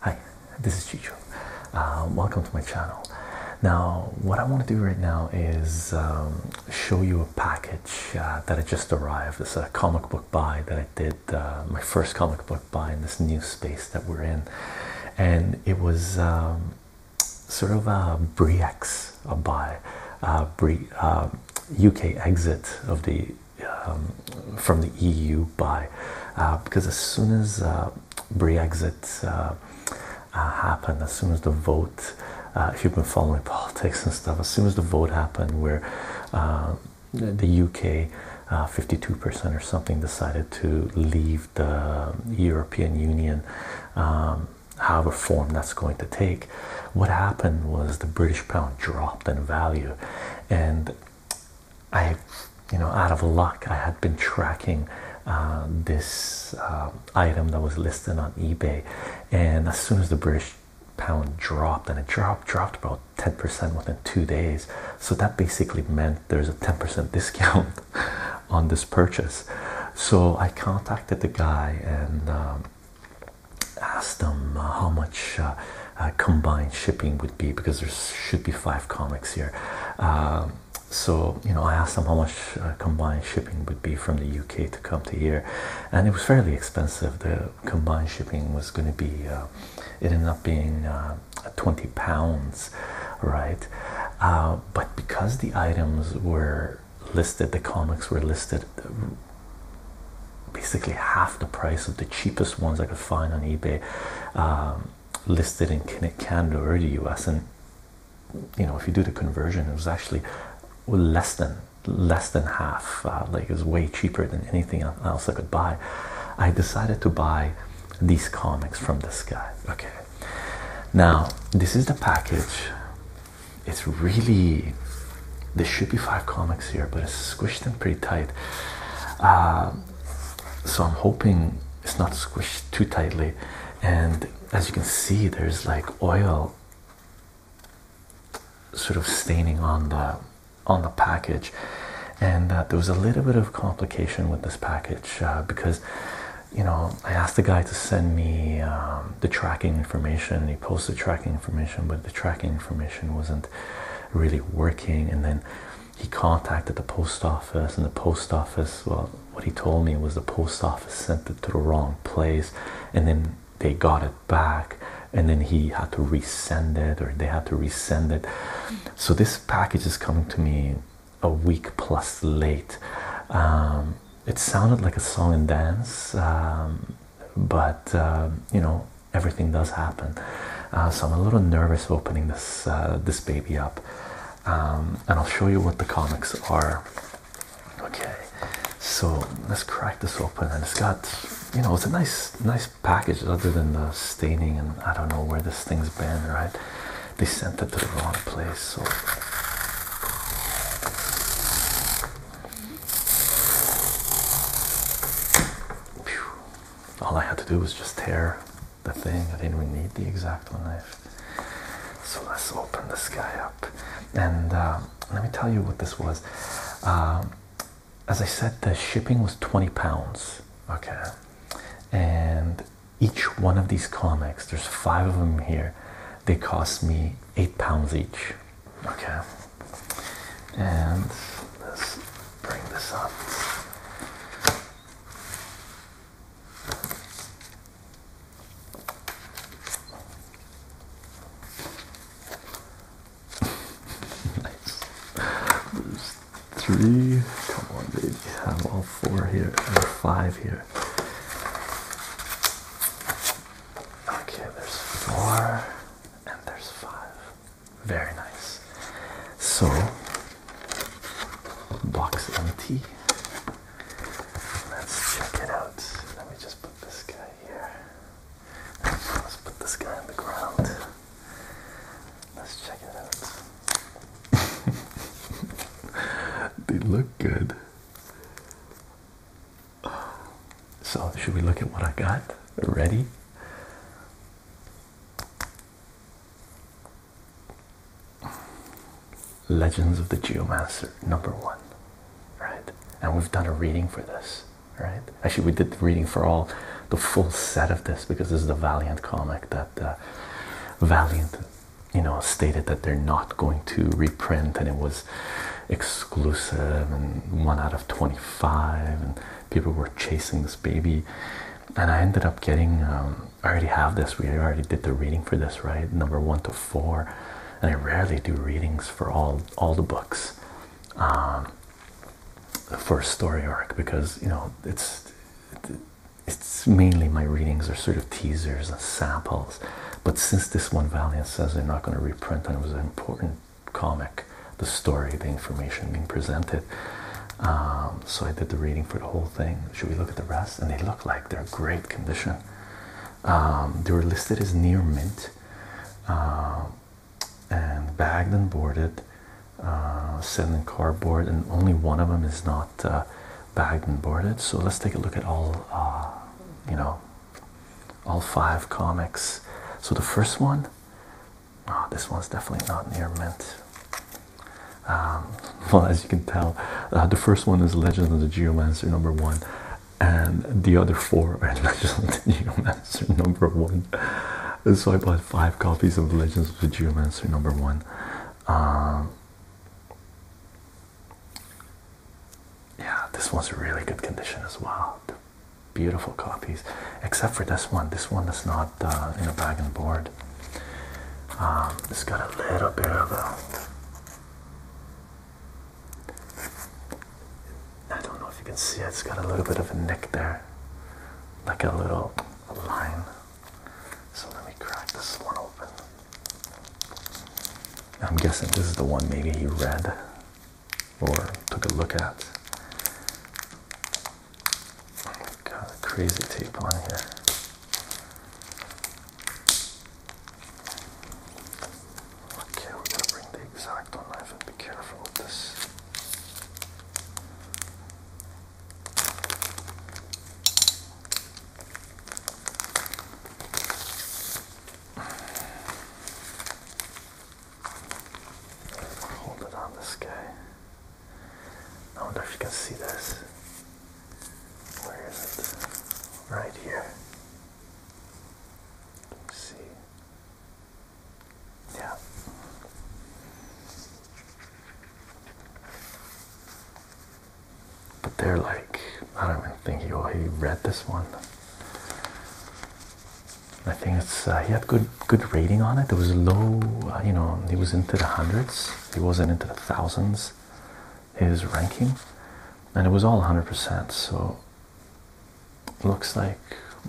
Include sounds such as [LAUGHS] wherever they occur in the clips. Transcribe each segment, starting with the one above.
Hi, this is Chicho. Uh, welcome to my channel. Now, what I want to do right now is um, show you a package uh, that I just arrived. It's a comic book buy that I did, uh, my first comic book buy in this new space that we're in. And it was um, sort of a Briex weeks uh, by uh, uh, UK exit of the um, from the EU by uh, because as soon as uh, Brexit happened, as soon as the vote, if you've been following [LAUGHS] politics and stuff, as soon as the vote happened, where the UK 52% or something decided to leave the European Union. Um, however form that's going to take. What happened was the British pound dropped in value, and I, you know, out of luck, I had been tracking uh, this uh, item that was listed on eBay, and as soon as the British pound dropped, and it dropped, dropped about 10% within two days. So that basically meant there's a 10% [LAUGHS] discount on this purchase. So I contacted the guy and um, Asked them uh, how much uh, uh, combined shipping would be because there should be five comics here. Um, so you know, I asked them how much combined shipping would be from the UK to come to here, and it was fairly expensive. The combined shipping was going to be, it ended up being twenty pounds, right? but because the items were listed, the comics were listed basically half the price of the cheapest ones I could find on eBay, um, listed in Canada or the US. And you know, if you do the conversion, it was actually less than less than half. Uh, like it was way cheaper than anything else I could buy. I decided to buy these comics from this guy. Okay, now this is the package it's really there should be five comics here, but it's squished in pretty tight. Um, so I'm hoping it's not squished too tightly. And as you can see, there's like oil sort of staining on the on the package, and uh, there was a little bit of complication with this package uh, because you know I asked the guy to send me um, the tracking information. He posted tracking information, but the tracking information wasn't really working. And then he contacted the post office, and the post office, well, what he told me was the post office sent it to the wrong place, and then they got it back, and then he had to resend it, or they had to resend it. So this package is coming to me a week plus late. Um, it sounded like a song and dance, um, but uh, you know everything does happen. Uh, so I'm a little nervous opening this uh, this baby up, um, and I'll show you what the comics are. Okay, so let's crack this open, and it's got you know it's a nice nice package other than the staining, and I don't know where this thing's been. Right, they sent it to the wrong place, all I had to do was just tear the thing. I didn't even need the X-Acto knife. So let's open this guy up. And uh, let me tell you what this was. Um, as I said, the shipping was 20 pounds. Okay. And each one of these comics, there's five of them here, they cost me eight pounds each. Okay. And let's bring this up. Nice. There's three. Come on, baby. I have all four here and five here. Okay, there's four and there's five. Very nice. So, box empty. Let's check it out. Let me just put this guy here. Let's put this guy on the ground. Let's check it out. [LAUGHS] they look good. So, should we look at what I got? Ready? Legends of the Geomancer, number one, right? And we've done a reading for this, right? Actually, we did reading for all the full set of this because this is the Valiant comic that uh, Valiant, you know, stated that they're not going to reprint, and it was exclusive and one out of 25 and people were chasing this baby and i ended up getting um, i already have this we already did the reading for this right number one to four and i rarely do readings for all all the books um, for a story arc because you know it's it's mainly my readings are sort of teasers and samples but since this one Valiant says they're not going to reprint and it was an important comic, the story, the information being presented. Um, so I did the reading for the whole thing. Should we look at the rest? And they look like they're great condition. Um, they were listed as near mint um, and bagged and boarded, uh, sitting in cardboard, and only one of them is not uh, bagged and boarded. So let's take a look at all, uh, you know, all five comics. So the first one, oh, this one's definitely not near mint. Um, [LAUGHS] well, as you can tell, uh, the first one is Legends of the Geomancer number one, and the other four [LAUGHS] are Legend of the Geomancer number one. so I bought five copies of Legends of the Geomancer number one. Um, yeah, this one's really good condition as well. beautiful copies, except for this one. This one is not uh, in a bag and board. Um, it's got a little bit of a. I don't know if you can see it. It's got a little bit of a nick there, like a little line. So let me crack this one open. I'm guessing this is the one maybe he read or took a look at. Got a crazy tape on here. Okay, we're to bring the exacto knife and be careful with this. Hold it on this guy. I wonder if you can see this. Where is it? Right here. see. Yeah. But they're like, I don't even think he, he read this one. I think it's uh, he had good good rating on it. It was low, uh, you know, he was into the hundreds. He wasn't into the thousands. His ranking, and it was all 100%. So looks like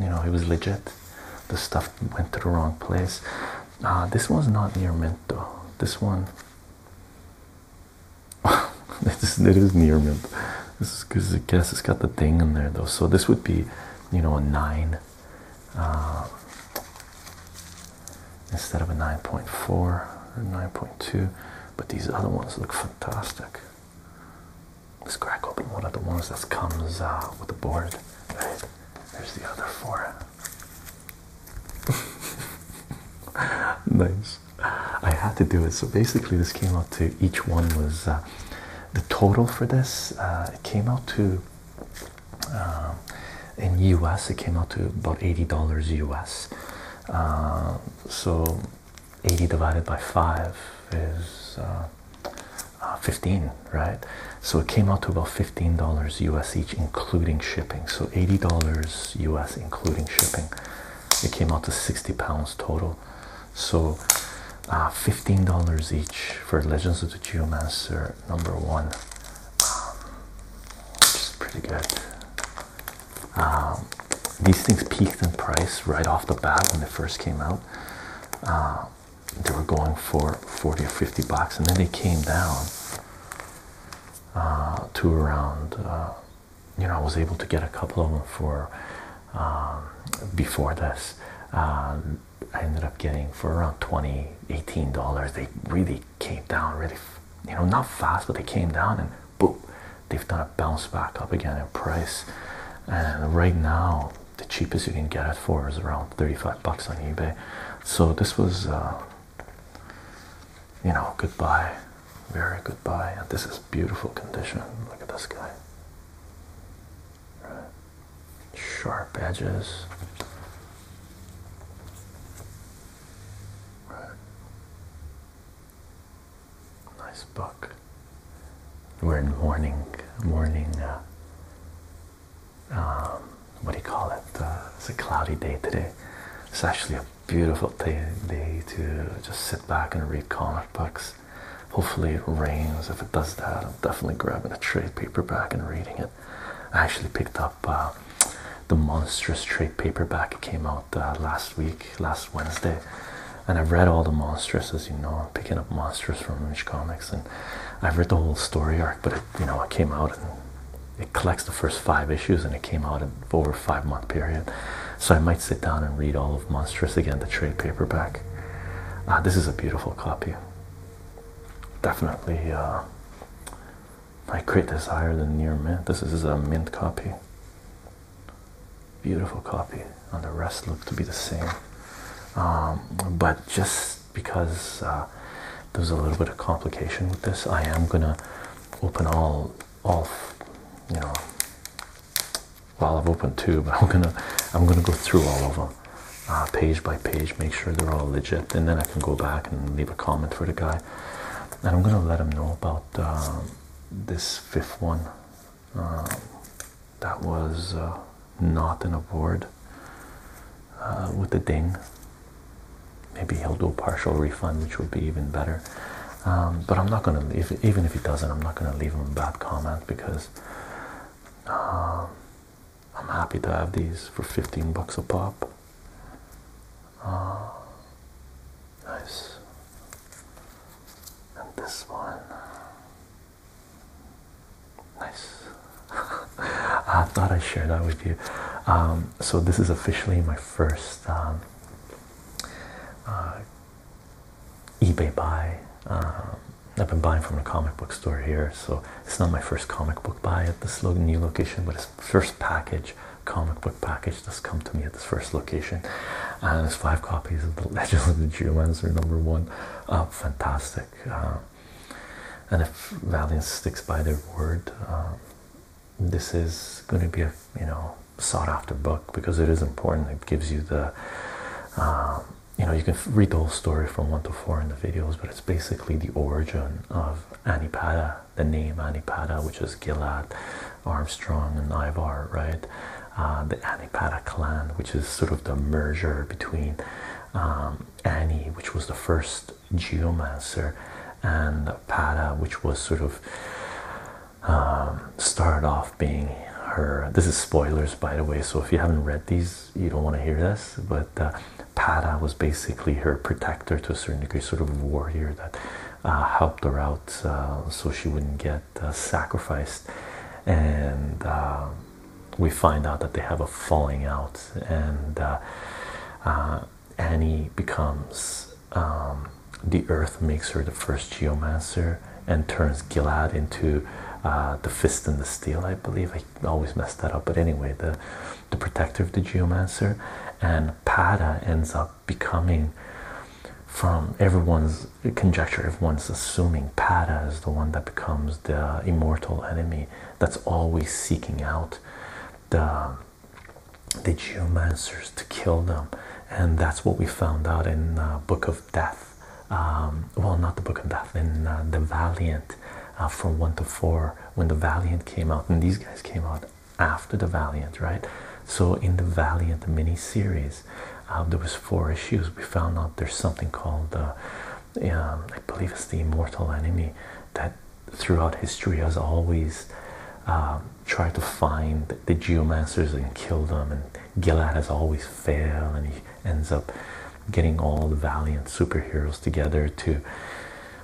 you know he was legit. The stuff went to the wrong place. Uh, this one's not near mint though. This one [LAUGHS] it, is, near mint. This is because I guess it's got the thing in there though. So this would be, you know, a nine uh, instead of a nine point four or nine point two. But these other ones look fantastic. Let's crack open one of the ones that comes uh, with the board. Right. There's the other four. [LAUGHS] nice. I had to do it. So basically, this came out to each one was uh, the total for this. Uh, it came out to uh, in US. It came out to about eighty dollars US. so eighty divided by five is uh, uh, fifteen, right? So it came out to about fifteen dollars US each, including shipping. So eighty dollars US, including shipping. It came out to sixty pounds total. So uh, $15 each for Legends of the Geomancer number one. Um, which is pretty good. Um, these things peaked in price right off the bat when they first came out. Uh, they were going for 40 or 50 bucks, and then they came down uh, to around you know, I was able to get a couple of them for um, before this. Um, I ended up getting for around 20 18 dollars. They really came down, really, you know, not fast, but they came down and boom, they've done a bounce back up again in price. And right now, the cheapest you can get it for is around 35 bucks on eBay. So this was, uh, you know, goodbye. Very good buy. And this is beautiful condition. Look at this guy. Right. Sharp edges. Right. Nice book. We're in morning, morning, uh, um, what do you call it? Uh, it's a cloudy day today. It's actually a beautiful day, day to just sit back and read comic books Hopefully, it rains. If it does that, I'm definitely grabbing a trade paperback and reading it. I actually picked up uh, the monstrous trade paperback. It came out uh, last week, last Wednesday, and I've read all the monstrous. As you know, I'm picking up monstrous from Image Comics, and I've read the whole story arc. But it, you know, it came out and it collects the first five issues, and it came out in over a five month period. So I might sit down and read all of Monstrous again, the trade paperback. Uh, this is a beautiful copy. Definitely, uh, I create this higher than near mint. This is a mint copy. Beautiful copy, and the rest look to be the same. Um, but just because uh, there's a little bit of complication with this, I am gonna open all all you know well, I've opened two, but [LAUGHS] I'm gonna I'm gonna go through all of them, uh, page by page, make sure they're all legit, and then I can go back and leave a comment for the guy, and I'm gonna let him know about um, this fifth one. Um, that was uh, not an award uh, with the ding. Maybe he'll do a partial refund, which would be even better. Um, but I'm not gonna even if he doesn't, I'm not gonna leave him a bad comment because um, I'm happy to have these for 15 bucks a pop. Uh, nice. And this one. Nice. [LAUGHS] I thought I'd share that with you. Um, so, this is officially my first uh, eBay buy. Um, I've been buying from the comic book store here, so it's not my first comic book buy at this new location, but it's first package comic book package that's come to me at this first location. And there's five copies of the [LAUGHS] Legend of the Geomancer number one. Uh, fantastic. Um, and if Valiant sticks by their word, um, this is going to be a you know sought after book because it is important. It gives you the um, you know you can read the whole story from one to four in the videos, but it's basically the origin of Anipada, the name Anipada, which is Gilad, Armstrong, and Ivar, right? Uh, the Anipada clan, which is sort of the merger between um, Annie, which was the first geomancer, and Pata, which was sort of um, started off being her. This is spoilers, by the way. So if you haven't read these, you don't want to hear this. But uh, Pada was basically her protector to a certain degree, sort of a warrior that uh, helped her out uh, so she wouldn't get uh, sacrificed. And um, we find out that they have a falling out, and Annie becomes. Um, the earth makes her the first geomancer and turns Gilad into uh, the fist and the steel, I believe. I always mess that up, but anyway, the, the protector of the geomancer. And Pada ends up becoming, from everyone's conjecture, everyone's assuming Pada is the one that becomes the immortal enemy that's always seeking out the, the geomancers to kill them. And that's what we found out in uh, Book of Death. Um, well, not the Book of Death, in uh, the Valiant uh, from one to four when the Valiant came out, and these guys came out after the Valiant, right? So in the Valiant mini series, uh, there was four issues. We found out there's something called, um, I believe it's the Immortal Enemy that throughout history has always. Um, tried to find the geomancers and kill them and Gilad has always failed, and he ends up getting all the valiant superheroes together to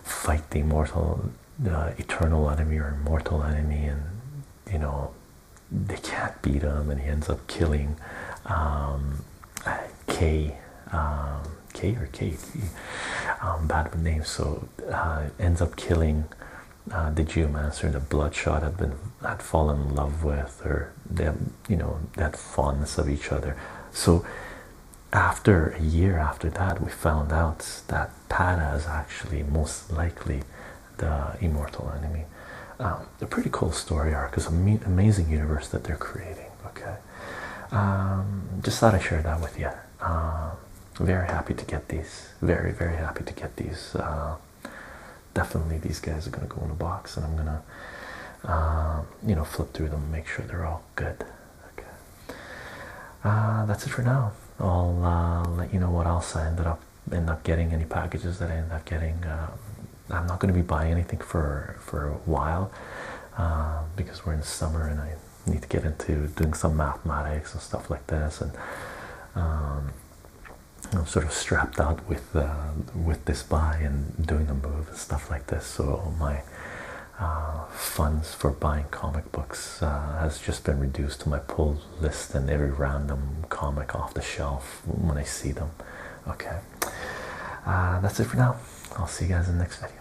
fight the immortal, eternal enemy or immortal enemy, and you know they can't beat him, and he ends up killing um, K. Um, K or K, um, bad with names, so uh, ends up killing the uh, geomancer the Bloodshot had been had fallen in love with, or they you know that fondness of each other. So after a year after that, we found out that Pada is actually most likely the immortal enemy. Um, a pretty cool story arc, is an amazing universe that they're creating. Okay, um, just thought I would share that with you. Um, very happy to get these. Very very happy to get these. Uh, Definitely, these guys are gonna go in a box, and I'm gonna, um, you know, flip through them, and make sure they're all good. Okay, uh, that's it for now. I'll uh, let you know what else I ended up end up getting. Any packages that I end up getting. Um, I'm not gonna be buying anything for for a while um, because we're in summer, and I need to get into doing some mathematics and stuff like this, and. I'm sort of strapped out with um, with this buy and doing the move and stuff like this. So my uh, funds for buying comic books uh, has just been reduced to my pull list and every random comic off the shelf when I see them. Okay, uh, that's it for now. I'll see you guys in the next video.